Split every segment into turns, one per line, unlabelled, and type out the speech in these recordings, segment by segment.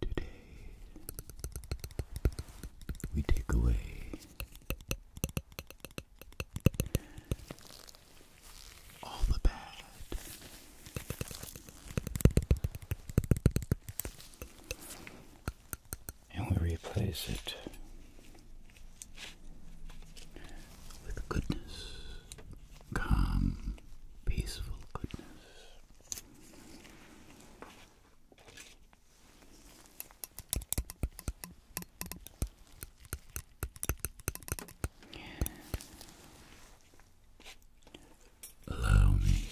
Today we take away all the bad and we replace it with goodness, calm, peaceful goodness. Allow me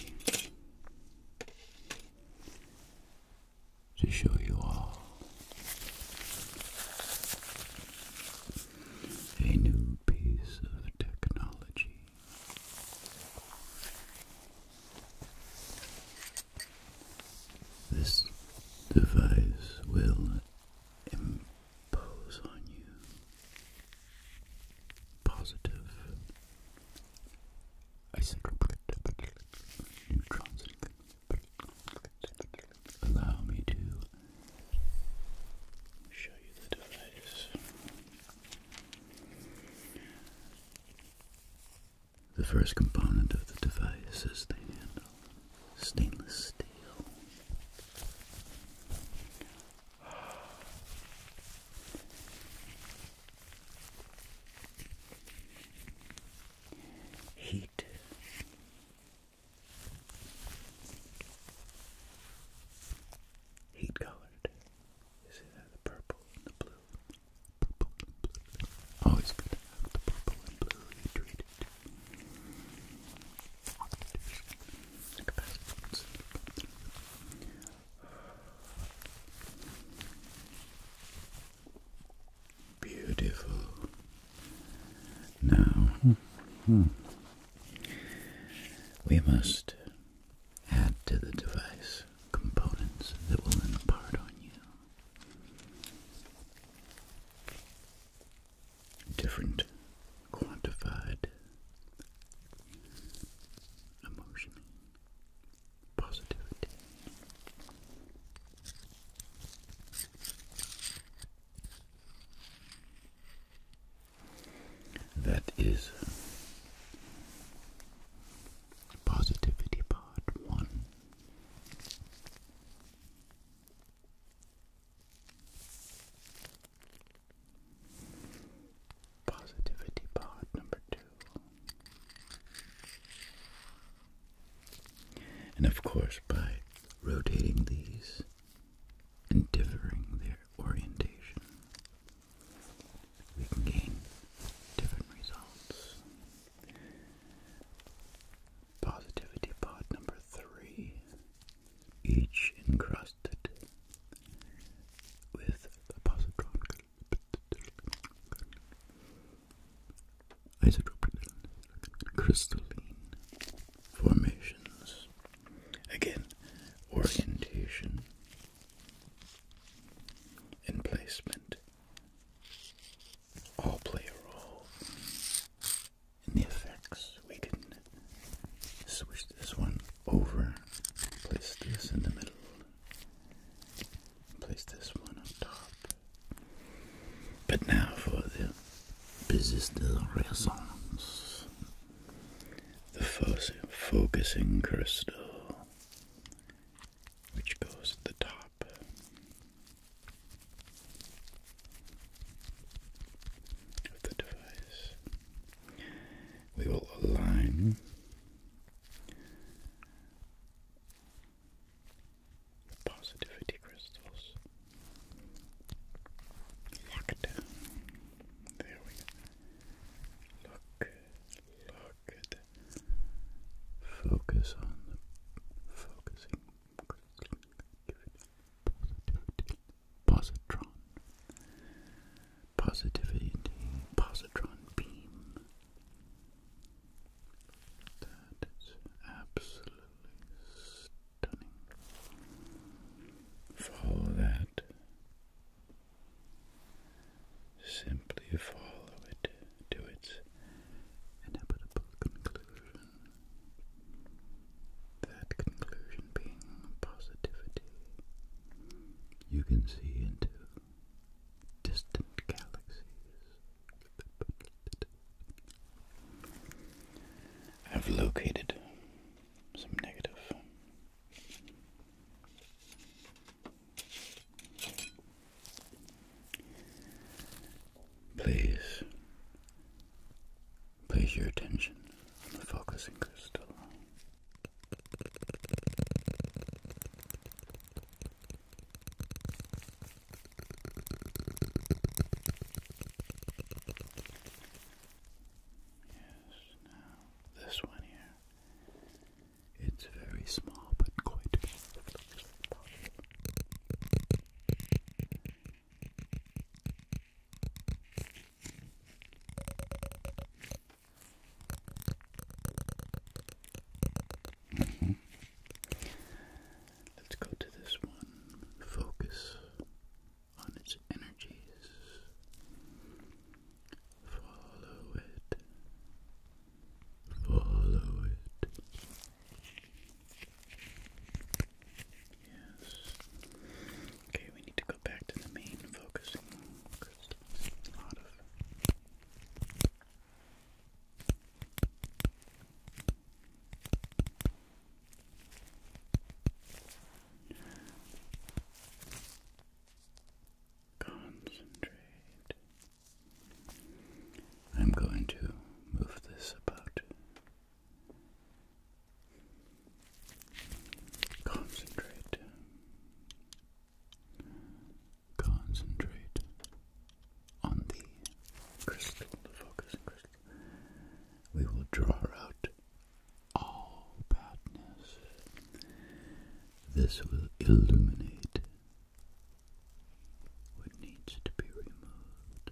to show you all a new piece of technology. This device will impose on you positive neutrons allow me to show you the device. The first component of the device is the handle, stainless steel. Heat. Heat colored. You see that? The purple and the blue. Purple and blue. Always good to have the purple and blue treated. Beautiful. Now, we must add to the device components that will impart on you different quantified emotional positivity. That is positivity part one. Positivity pod number two. And of course, by rotating these and differing their orientation, we can gain different results. Positivity pod number three each encrusted with a positron isotropic crystalline formations. Again, orientation and placement all play a role in the effects we can switch this one over, place this in the middle, place this one on top. But now for the business de raisons, the fos focusing crystal, which goes at the top. Of the device, we will align positivity crystals locked down. There we go. Look, look at that. Focus on focusing. Positivity. Positron. Positivity. Positron beam. That is absolutely stunning. Follow that. Simply follow it to its inevitable conclusion. That conclusion being positivity, you can see into distant galaxies. I've located some negative. Please Place your attention on the focusing crystal. Yes, now this one here. It's very small but quite Mm -hmm. Let's go to this one. Focus on its energies. Follow it. Follow it. Yes. Okay, we need to go back to the main focusing Concentrate. I'm going to move this about Concentrate. Concentrate on the crystal, the focusing crystal. We will draw out all badness. This will illuminate what needs to be removed.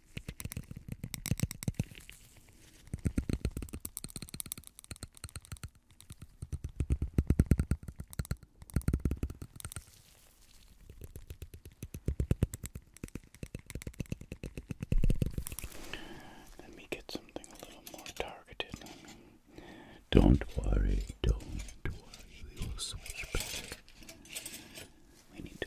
Let me get something a little more targeted. don't worry, don't worry, we will switch back. We need to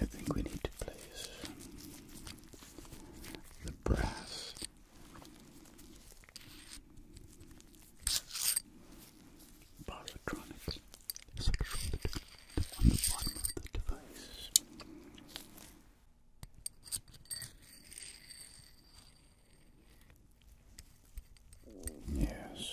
I think we need to place the brass positronics on the bottom of the device. Yes,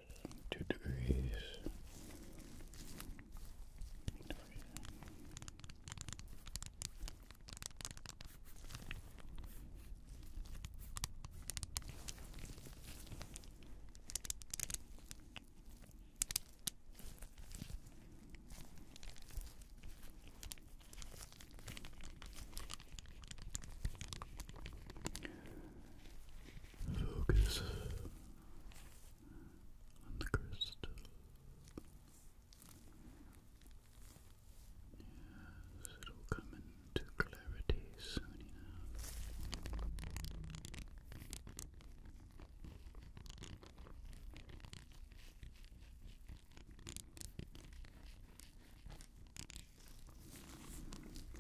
two degrees. Focus and the crystal. Yes, it'll come into clarity soon enough.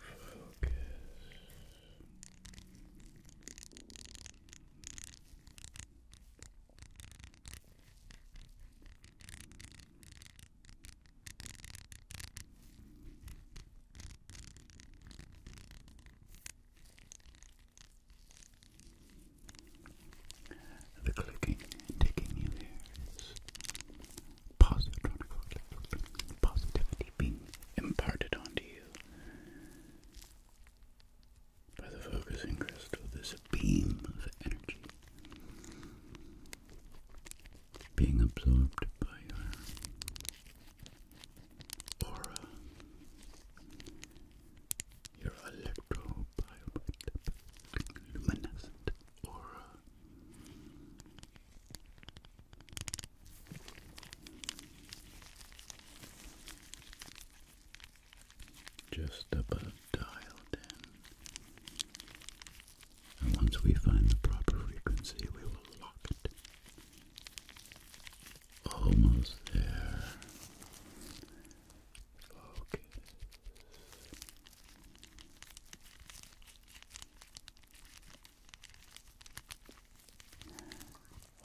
Focus the clicking and ticking you hear is positronic positivity being imparted onto you by the focusing crystal. There's a beam of energy being absorbed by your aura, your electro aura. Just about dialed in. And once we find the proper frequency, we will lock it. Almost there. Focus.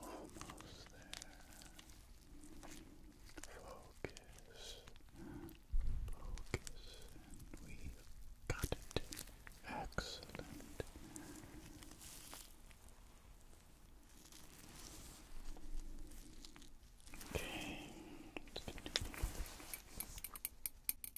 Almost there. Focus. Focus. And we got it. Excellent. Okay. Let's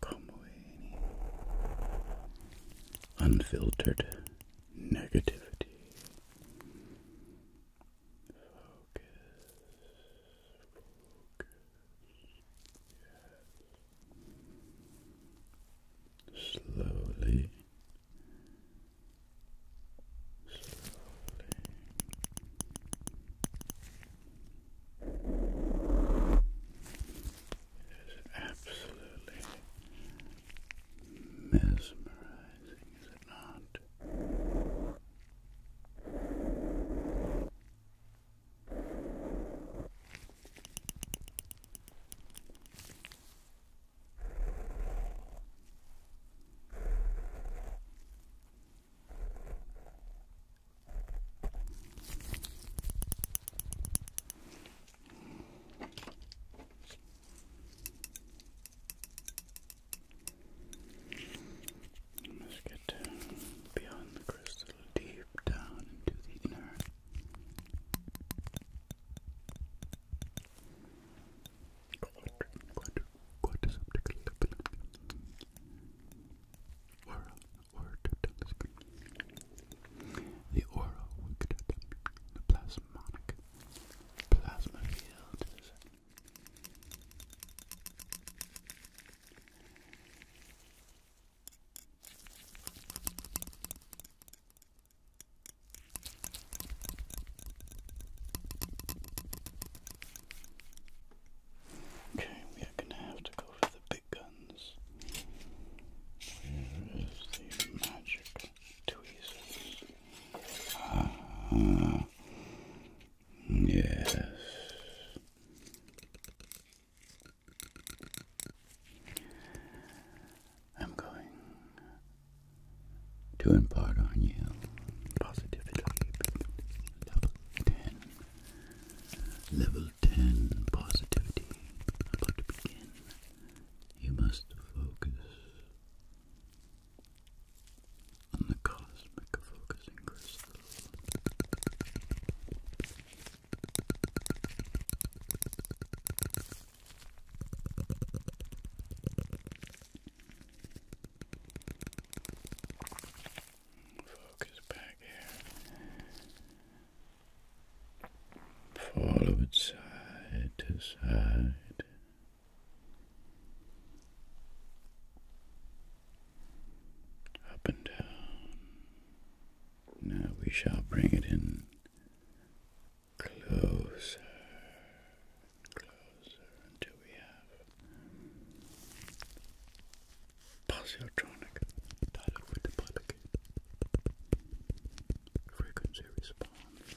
Como any unfiltered negativity. Focus. Focus. Slowly it is absolutely mesmerizing, is it not? Let's get down beyond the crystal, deep down into the inner quadru, quadru, Oral, oral The oral wicked, the plasmonic, plasma field is Okay, we are gonna have to go for the big guns. Where is the magic tweezers? Ah, yes. I'm going to impart on you positivity. Level 10. Level 10 positivity. About to begin. You must focus on the cosmic focusing crystal. Focus back here. Follow it side to side. Up and down. Now we shall bring it in closer and closer until we have Positronic dialogue with the public frequency response.